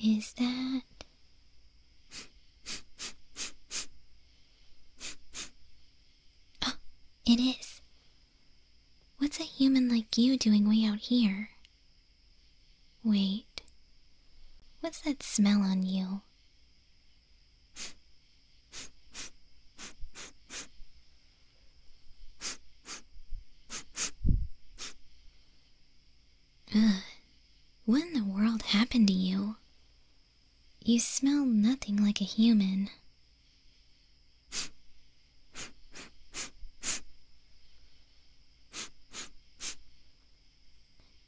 Is that Oh, it is. What's a human like you doing way out here? Wait. What's that smell on you? Ugh. What in the world happened to you? You smell nothing like a human.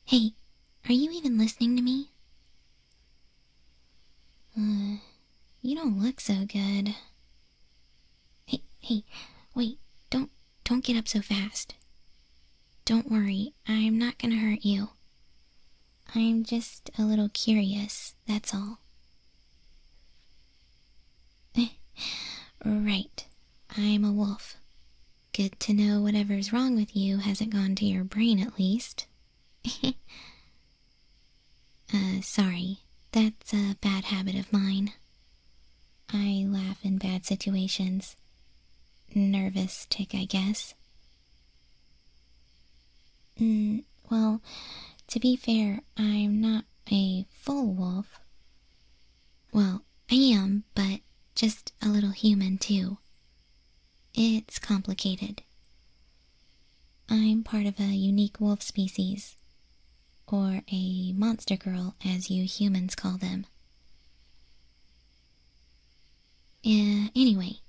Hey, are you even listening to me? Uh, you don't look so good. Hey, hey, wait, don't, don't get up so fast. Don't worry, I'm not gonna hurt you. I'm just a little curious, that's all. right, I'm a wolf. Good to know whatever's wrong with you hasn't gone to your brain at least. Uh, sorry. That's a bad habit of mine. I laugh in bad situations. Nervous tick, I guess. Mm, well, to be fair, I'm not a full wolf. Well, I am, but just a little human, too. It's complicated. I'm part of a unique wolf species, or a monster girl as you humans call them. Uh, anyway,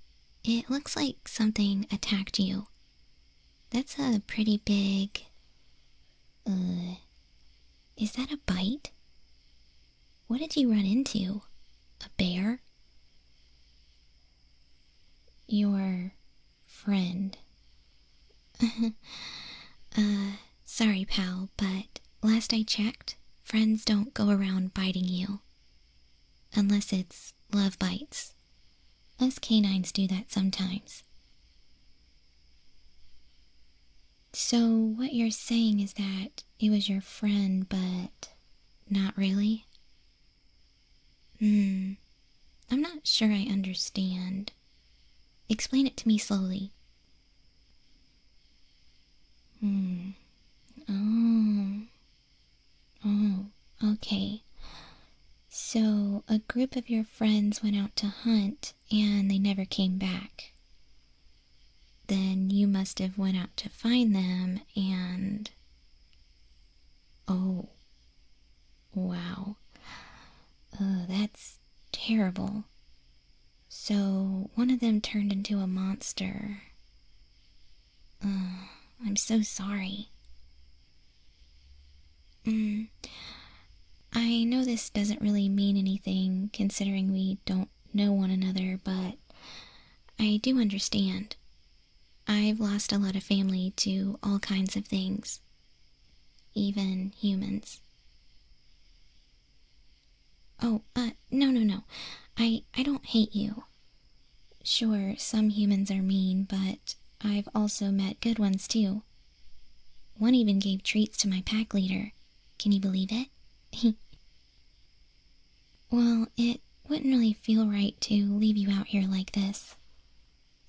it looks like something attacked you. That's a pretty big... Uh, is that a bite? What did you run into? A bear? your friend. Uh, sorry, pal, but last I checked, friends don't go around biting you. Unless it's love bites. Us canines do that sometimes. So, what you're saying is that it was your friend, but not really? Hmm. I'm not sure I understand. Explain it to me slowly. Hmm. Oh. Oh, okay. So, a group of your friends went out to hunt and they never came back. Then you must have went out to find them and Oh. Wow. Uh, that's terrible. So, one of them turned into a monster. Uh, I'm so sorry. Mm. I know this doesn't really mean anything considering we don't know one another, but I do understand. I've lost a lot of family to all kinds of things, even humans. Oh, uh, no, no, no. I, I don't hate you. Sure, some humans are mean, but I've also met good ones too. One even gave treats to my pack leader. Can you believe it? Well, it wouldn't really feel right to leave you out here like this.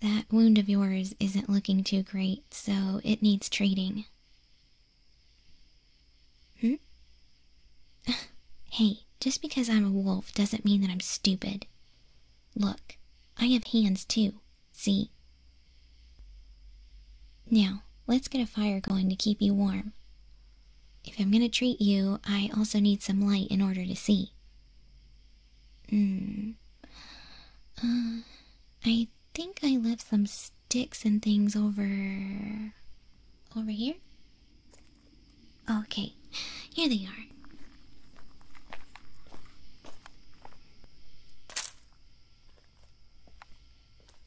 That wound of yours isn't looking too great, so it needs treating. Hmm? hey, just because I'm a wolf doesn't mean that I'm stupid. Look, I have hands too, see? Now, let's get a fire going to keep you warm. If I'm going to treat you, I also need some light in order to see. Hmm. Uh, I think I left some sticks and things over. over here? Okay, here they are.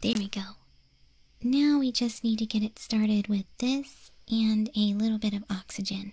There we go. Now we just need to get it started with this and a little bit of oxygen.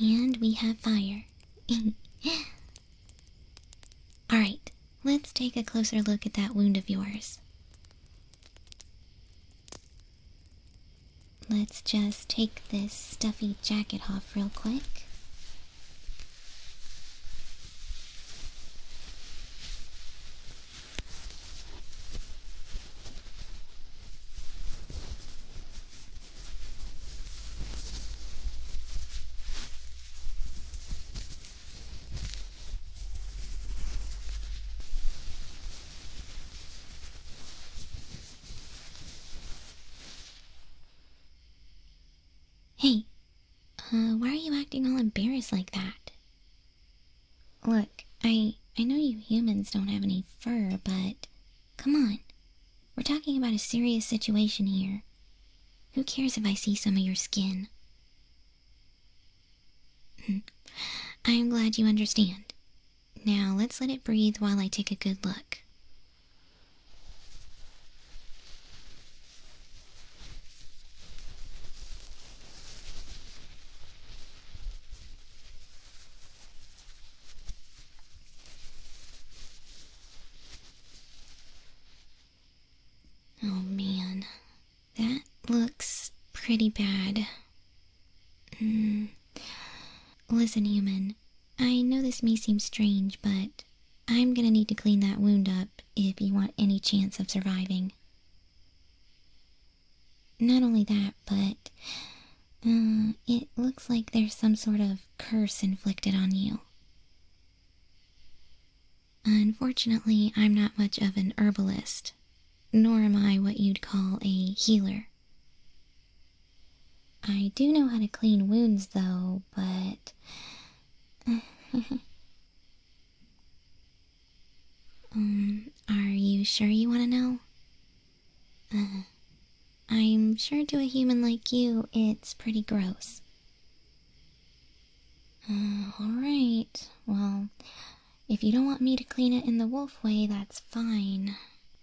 And we have fire. Alright, let's take a closer look at that wound of yours. Let's just take this stuffy jacket off real quick. Hey, uh, why are you acting all embarrassed like that? Look, I I know you humans don't have any fur, but come on. We're talking about a serious situation here. Who cares if I see some of your skin? I am glad you understand. Now let's let it breathe while I take a good look. Oh man, that looks pretty bad. Hmm. Listen, human, I know this may seem strange, but I'm gonna need to clean that wound up if you want any chance of surviving. Not only that, but uh, it looks like there's some sort of curse inflicted on you. Unfortunately, I'm not much of an herbalist, nor am I what you'd call a healer. I do know how to clean wounds, though, but. Um, are you sure you want to know? Uh, I'm sure to a human like you, it's pretty gross. Uh, alright, well, if you don't want me to clean it in the wolf way, that's fine.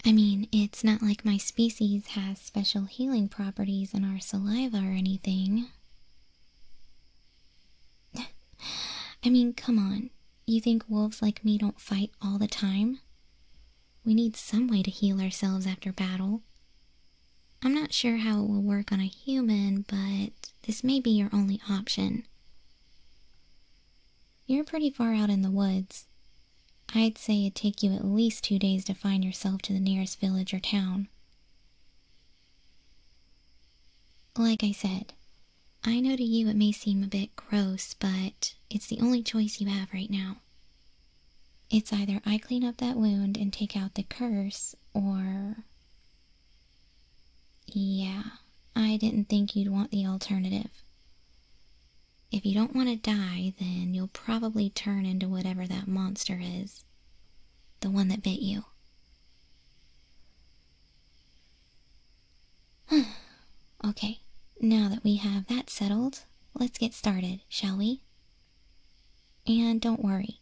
I mean, it's not like my species has special healing properties in our saliva or anything. I mean, come on. You think wolves like me don't fight all the time? We need some way to heal ourselves after battle. I'm not sure how it will work on a human, but this may be your only option. You're pretty far out in the woods. I'd say it'd take you at least two days to find yourself to the nearest village or town. Like I said, I know to you it may seem a bit gross, but it's the only choice you have right now. It's either I clean up that wound and take out the curse, or. Yeah, I didn't think you'd want the alternative. If you don't want to die, then you'll probably turn into whatever that monster is. The one that bit you. okay, now that we have that settled, let's get started, shall we? And don't worry,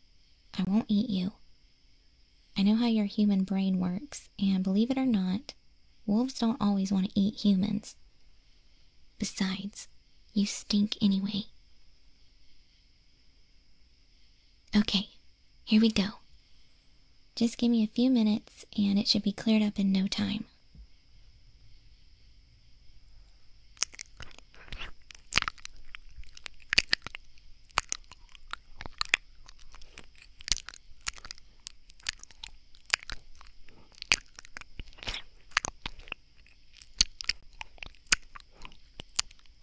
I won't eat you. I know how your human brain works, and believe it or not, wolves don't always want to eat humans. Besides, you stink anyway. Okay, here we go. Just give me a few minutes and it should be cleared up in no time.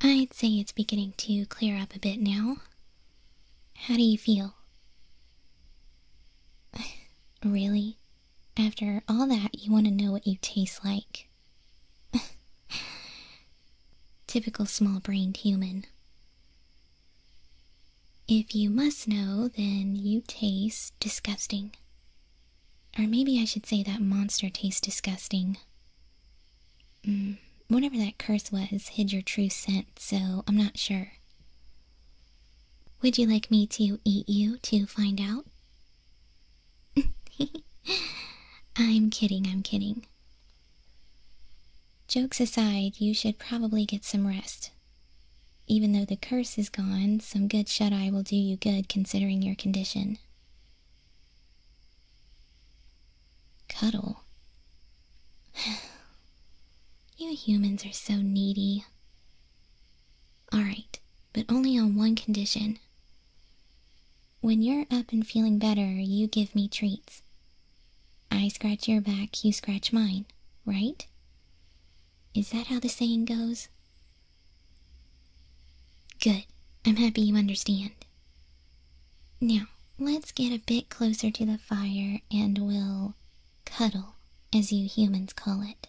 I'd say it's beginning to clear up a bit now. How do you feel? really? After all that, you want to know what you taste like. Typical small brained human. If you must know, then you taste disgusting. Or maybe I should say that monster tastes disgusting. Mm, whatever that curse was hid your true scent, so I'm not sure. Would you like me to eat you to find out? I'm kidding, I'm kidding. Jokes aside, you should probably get some rest. Even though the curse is gone, some good shut-eye will do you good considering your condition. Cuddle. you humans are so needy. All right, but only on one condition. When you're up and feeling better, you give me treats. I scratch your back, you scratch mine, right? Is that how the saying goes? Good. I'm happy you understand. Now, let's get a bit closer to the fire and we'll cuddle, as you humans call it.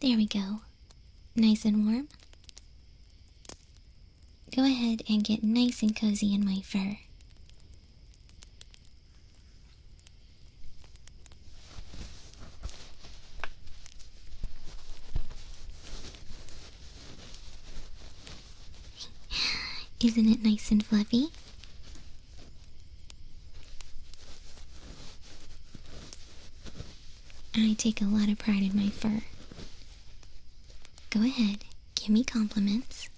There we go. Nice and warm. Go ahead and get nice and cozy in my fur. Isn't it nice and fluffy? I take a lot of pride in my fur. Go ahead, give me compliments.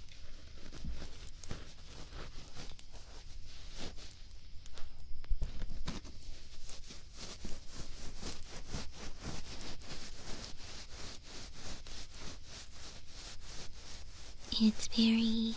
It's very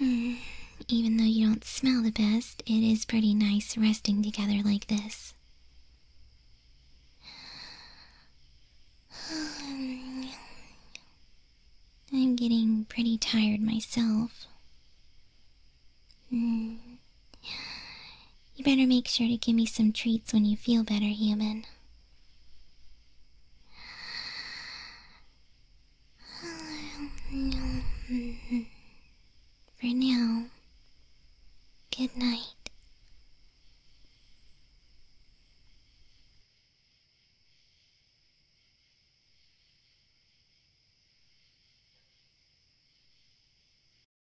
Mm, even though you don't smell the best, it is pretty nice resting together like this. I'm getting pretty tired myself. Mm. You better make sure to give me some treats when you feel better, human. For now, good night.